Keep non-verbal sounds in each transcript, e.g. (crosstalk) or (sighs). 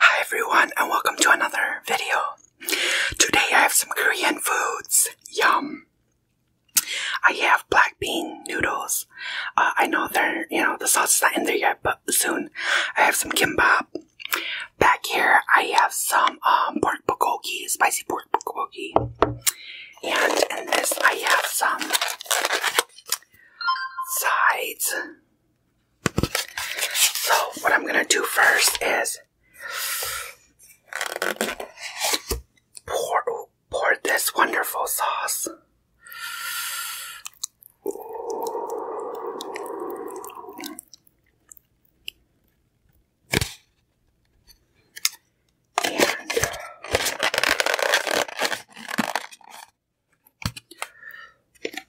Hi everyone and welcome to another video. Today I have some Korean foods. Yum. I have black bean noodles. Uh, I know they're, you know, the sauce is not in there yet, but soon. I have some kimbap. Back here I have some um, pork bulgogi, spicy pork bulgogi and in this I have some sides. So what I'm gonna do first is pour pour this wonderful sauce. And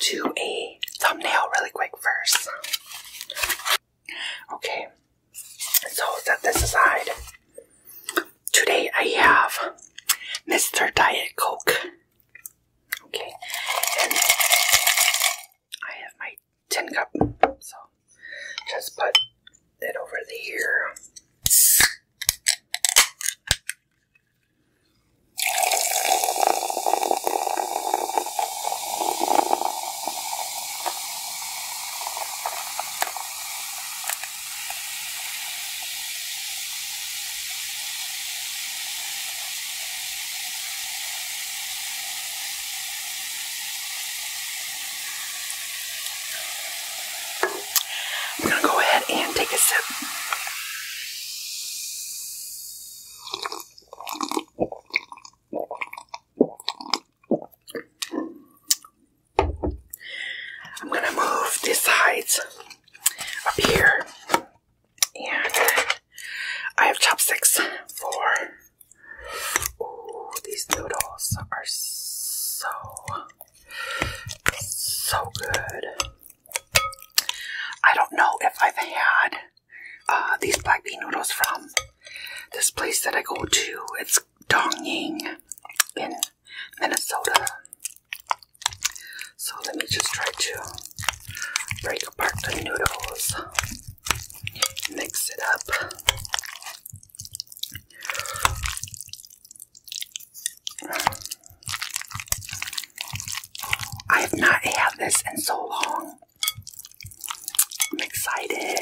do a thumbnail really quick first. Okay, so set this aside. Today I have Mr. Diet Coke. Okay, I have my my tin cup. So just put it over the here. I'm going to go ahead and take a sip. I'm going to move these sides up here. And I have chopsticks for Ooh, these noodles are so, so good. I don't know if I've had uh, these black bean noodles from this place that I go to. It's Dongying in Minnesota. So let me just try to break apart the noodles, mix it up. I have not had this in so long. I'm excited.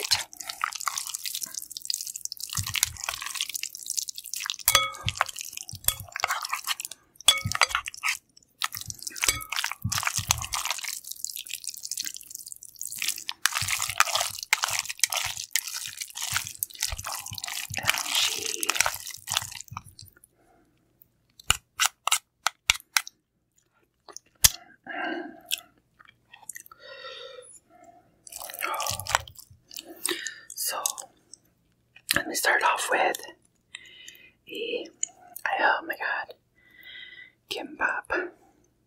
So let me start off with a oh my god kimbap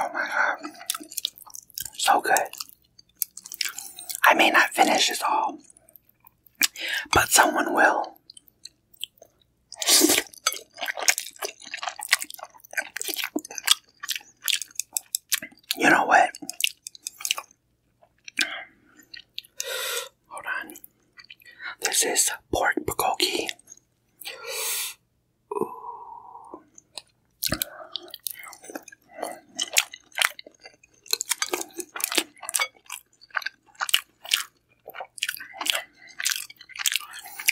Oh my god. So good. I may not finish this all, but someone will. You know what? Hold on. This is pork bulgogi.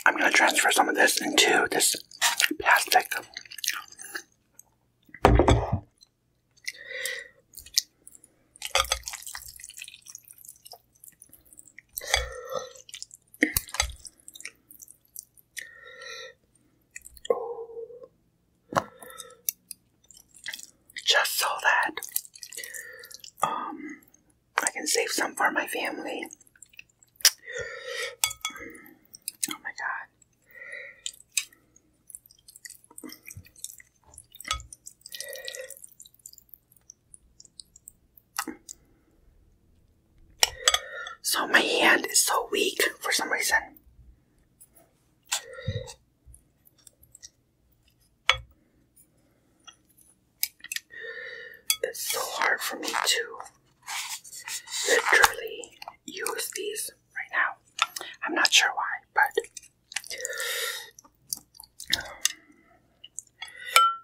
I'm gonna transfer some of this into this plastic. Just so that um, I can save some for my family. Oh my god. So my hand is so weak for some reason. It's so hard for me to literally use these right now. I'm not sure why, but.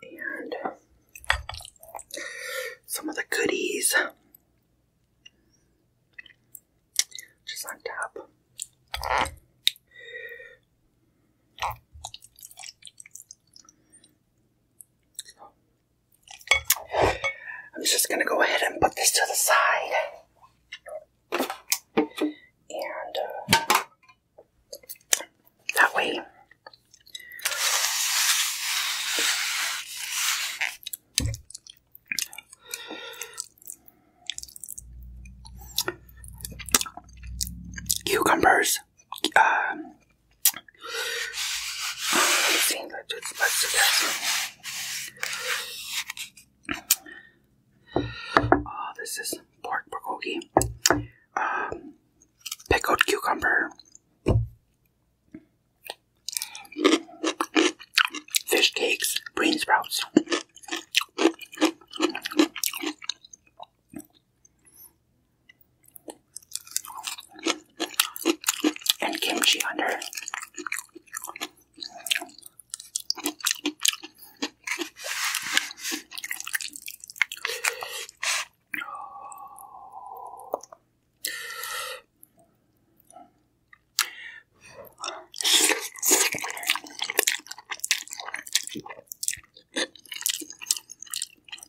and some of the goodies just on top. I'm just gonna go ahead and put this to the side. And uh, that way, cucumbers, um, Oh, this is pork bulgogi. Um, pickled cucumber. Fish cakes, green sprouts and kimchi under.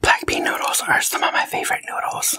Black bean noodles are some of my favorite noodles.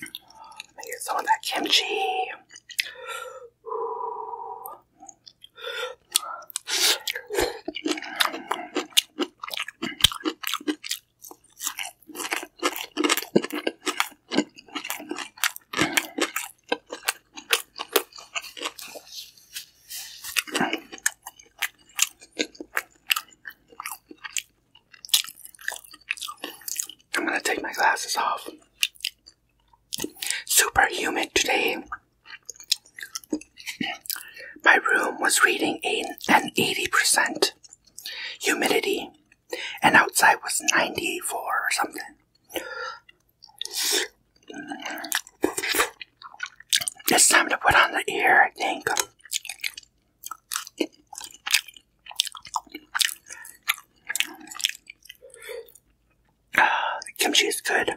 Let me get some of that kimchi. I'm going to take my glasses off super humid today. My room was reading an 80% humidity, and outside was 94 or something. It's time to put on the ear, I think. The (sighs) kimchi is good.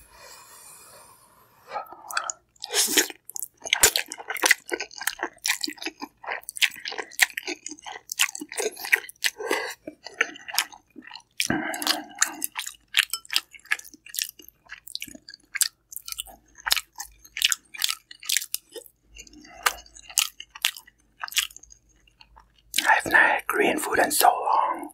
I have not had Korean food in so long.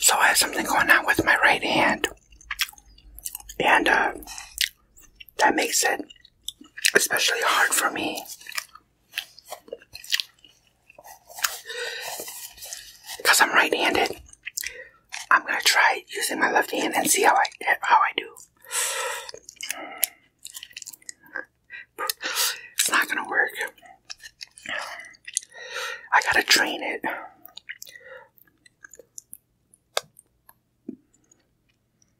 So I have something going on with my right hand, and uh, that makes it especially hard for me because I'm right-handed, I'm going to try using my left hand and see how I, how I do. It's not going to work. I got to train it.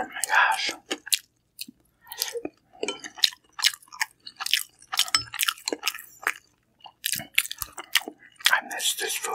Oh my gosh. I miss this food.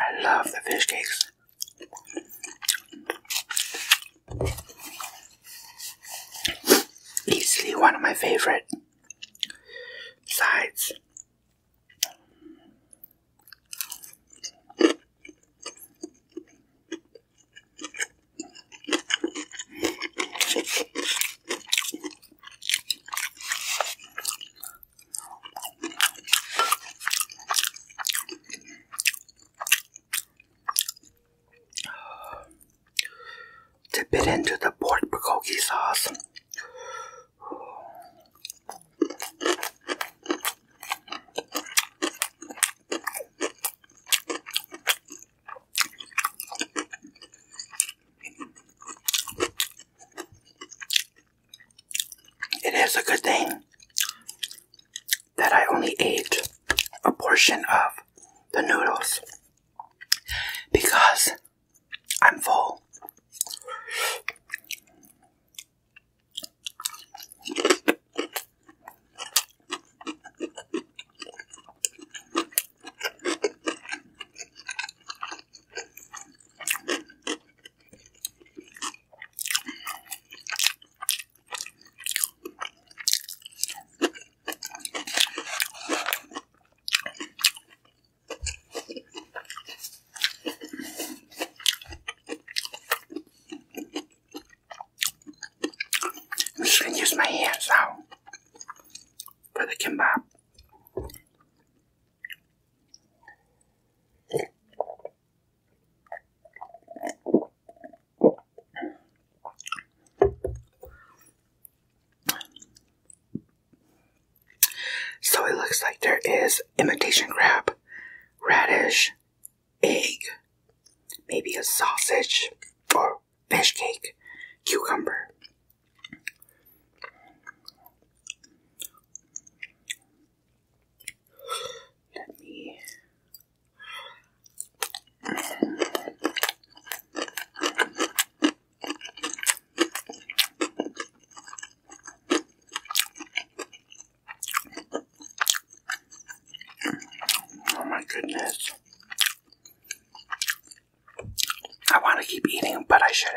I love the fish cakes. Easily one of my favorite sides. Dip it into the pork bulgogi sauce. It is a good thing that I only ate a portion of the noodles because I'm full. I'm just gonna use my hands now for the kimbap. So it looks like there is imitation crab, radish, egg, maybe a sausage or fish cake, cucumber. Let me. Oh my goodness. I want to keep eating, but I shouldn't.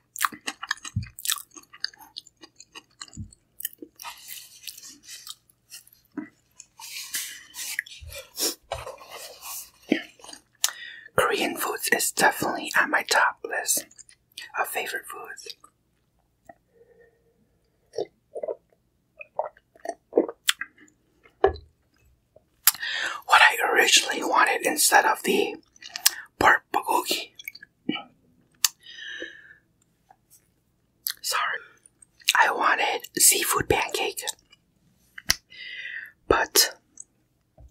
Korean foods is definitely on my top list of favorite foods. What I originally wanted instead of the pork bulgogi Sorry. I wanted seafood pancake. But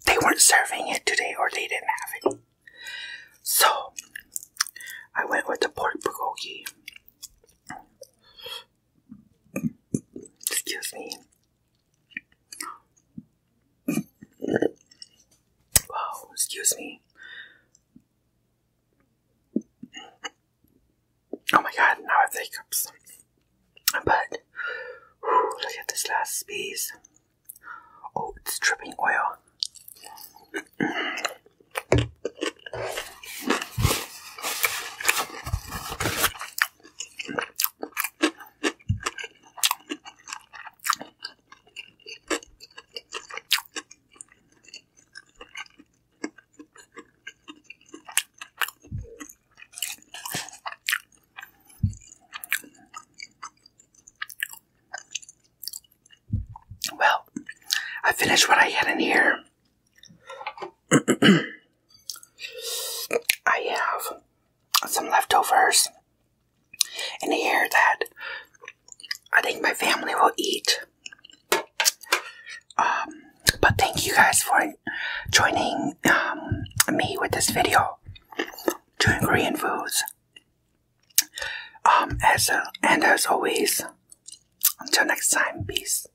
they weren't serving it today or they didn't have it. So I went with the pork bulgogi. Excuse me oh, excuse me. Oh my god, now I have hiccups. But, look at this last piece. Oh, it's dripping oil. Well, I finished what I had in here. (clears throat) I have some leftovers and the air that I think my family will eat. Um, but thank you guys for joining um, me with this video doing Korean foods. Um, as uh, and as always, until next time, peace.